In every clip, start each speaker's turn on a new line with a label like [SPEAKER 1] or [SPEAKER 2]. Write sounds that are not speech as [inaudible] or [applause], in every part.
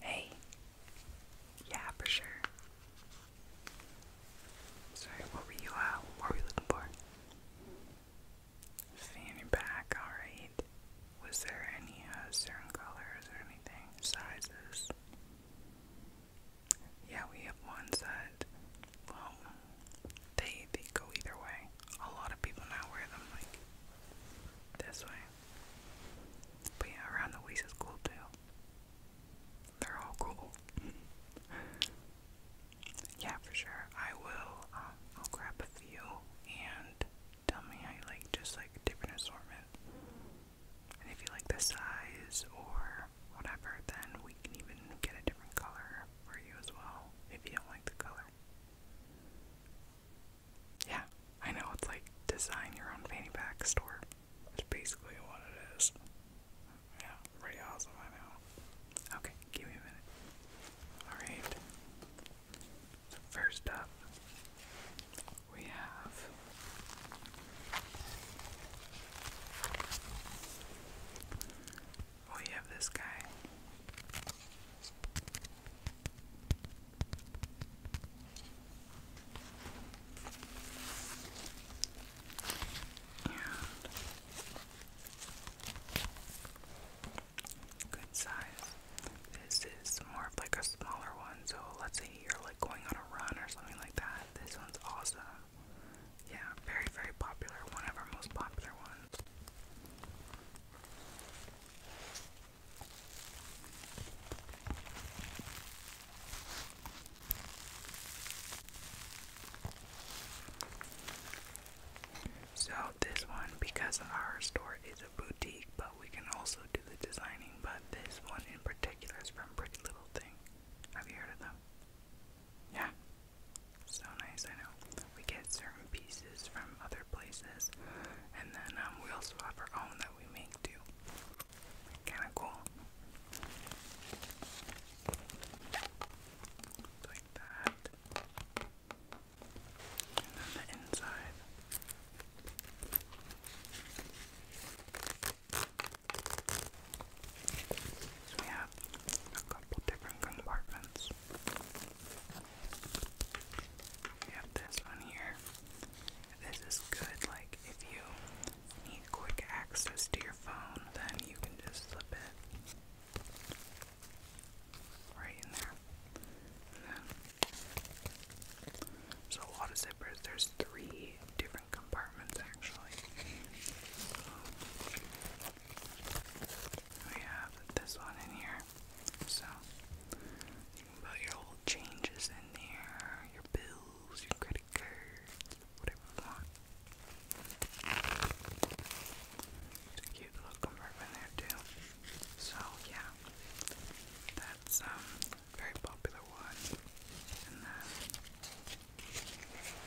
[SPEAKER 1] Hey. Yeah, for sure. Sorry, what were you uh what were you looking for? Fanny back, alright. Was there any uh, certain colors or anything? Sizes? Yeah, we have ones that they they go either way. A lot of people now wear them like this way. But yeah, around the waist is cool too. They're all cool. [laughs] yeah, for sure. I will, um, I'll grab a few and tell me how like just like different assortment. And if you like the size or whatever, then we can even get a different color for you as well if you don't like the color. Yeah, I know it's like design your own fanny pack store. That's basically what it is. Yeah, pretty awesome, I know. Okay, give me a minute. Alright. So first up we have Oh, have this guy. And good size. This is more of like a smaller one, so let's say you're like going on a run or something like that. This one's awesome. Yeah, very, very popular. One of our most popular ones. So this one, because our store is a boutique, but we can also do the designing, but this one in particular is from Pretty Little Thing. Have you heard of them? Yeah. So nice, I know we get certain pieces from other places, and then um, we also have our own that we make too. Kind of cool. Like that. And the inside. we have a couple different compartments. We have this on here. This is good, like if you need quick access to your phone, then you can just slip it right in there. so a lot of zippers. There's three different compartments actually. We have this one in here. So you can put your old changes in there, your bills, your credit cards, whatever you want. It's a cute little compartment there too. So yeah, that's um very popular one. And then of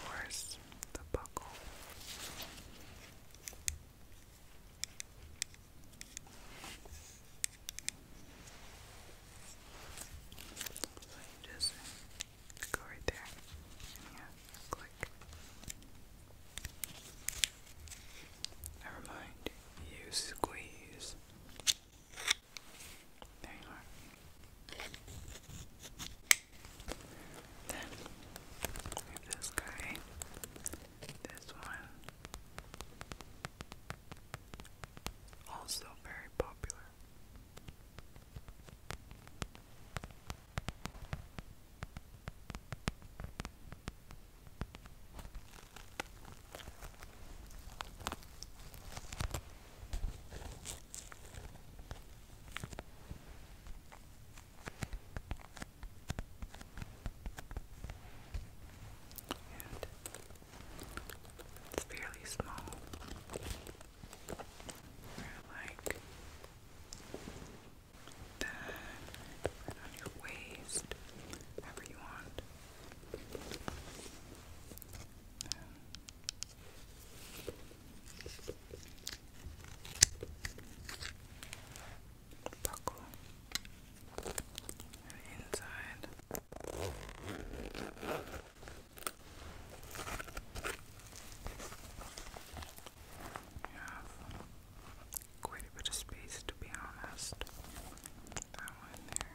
[SPEAKER 1] course the buckle. So you go right there, yeah, click. Never mind, you squeeze. There you are. Then, this guy this one. Also very popular. And it's fairly small. we like that, right on your waist, whatever you want buckle inside. You have quite a bit of space to be honest. That one there.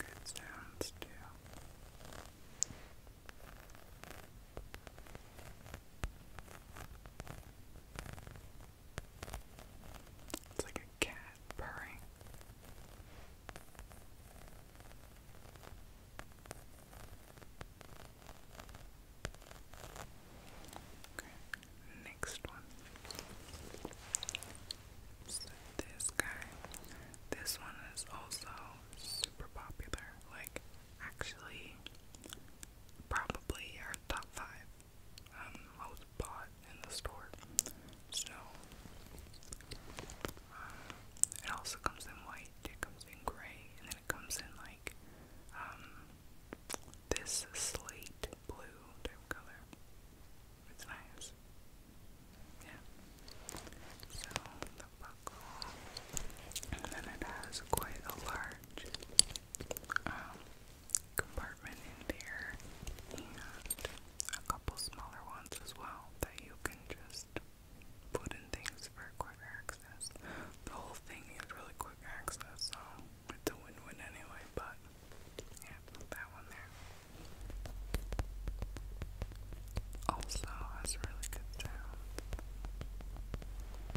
[SPEAKER 1] Good sounds too. Good it's like a cat purring. Okay, next one. So this guy. This one is also super popular. Like, actually, probably our top five um, I was bought in the store. So, um, it also comes in white, it comes in gray, and then it comes in like um, this slate blue type color. It's nice. Yeah. So, the buckle. And then it has quite a large um, compartment in there and a couple smaller ones as well that you can just put in things for quick access. The whole thing is really quick access, so it's a win-win anyway, but yeah, that one there. Also has really good sound.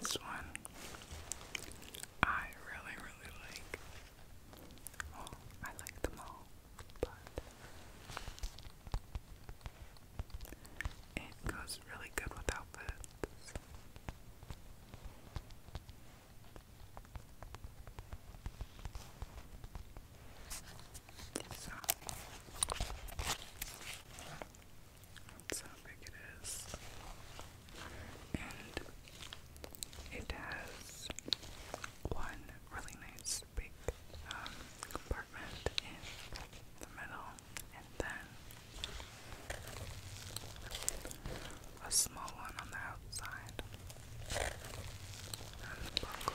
[SPEAKER 1] This one I really, really like. I like them all, but it goes really good with outfits. So, that's how big it is. And it has one really nice big um, compartment in the middle, and then a small one on the outside, and the buckle.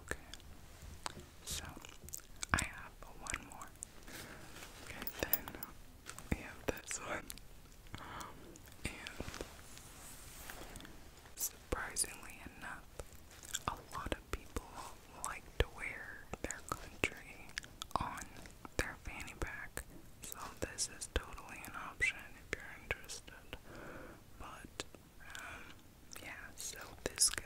[SPEAKER 1] Okay. So I have one more. Okay, then we have this one. and surprisingly enough, a lot of people like to wear their country on their fanny pack so this is totally an option if you're interested. But um, yeah, so this guy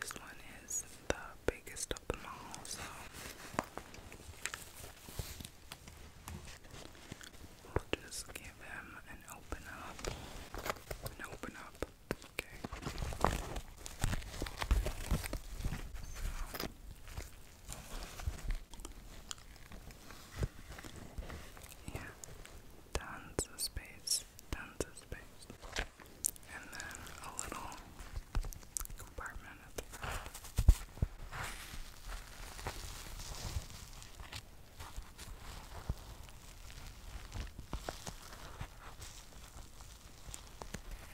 [SPEAKER 1] this one is the biggest of them all, so just give him an open up. An open up. Okay. Yeah, tons of space, tons of space. And then a little compartment at the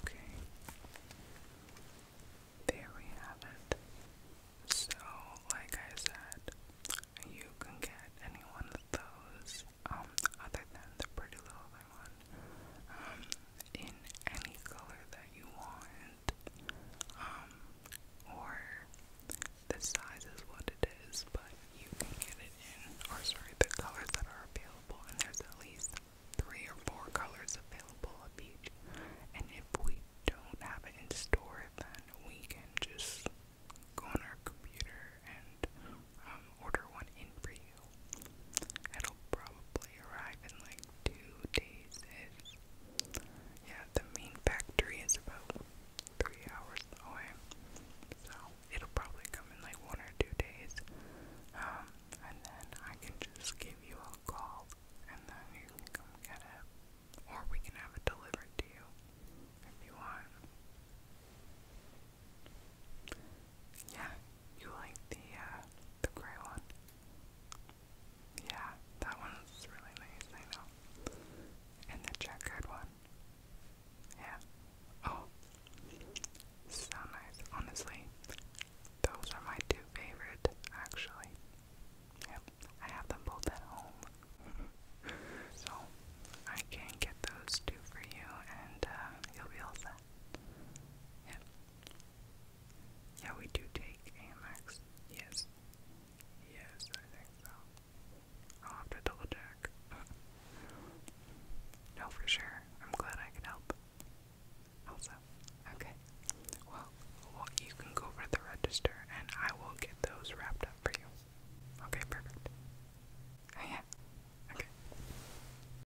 [SPEAKER 1] Okay, there we have it. So, like I said, you can get any one of those, um, other than the pretty little thing one um, in any color that you want, um, or the size is what it is, but you can get it in, or sorry, the colors that are available, and there's at least three or four colors available of each, and if we don't have it in store, then we can just go on our computer and um, order one in for you. It'll probably arrive in like two days Yeah, the main factory is about three hours away. So it'll probably come in like one or two days. Um, and then I can just give you a call and then you can come get it. Or we can have it delivered to you if you want. Yeah, you like the uh, the gray one. Yeah, that one's really nice, I know. And the checkered one. Yeah. Oh, so nice. Honestly, those are my two favorite, actually. Yep, I have them both at home. [laughs] so, I can get those two for you, and uh, you'll be all set. Yep. Yeah, we do take AMX. Yes. Yes, I think so. I'll have to double check. [laughs] no, for sure. I'm glad I could help. Also, okay. Well, you can go over to the register and I will get those wrapped up for you. Okay, perfect. Oh, yeah. Okay.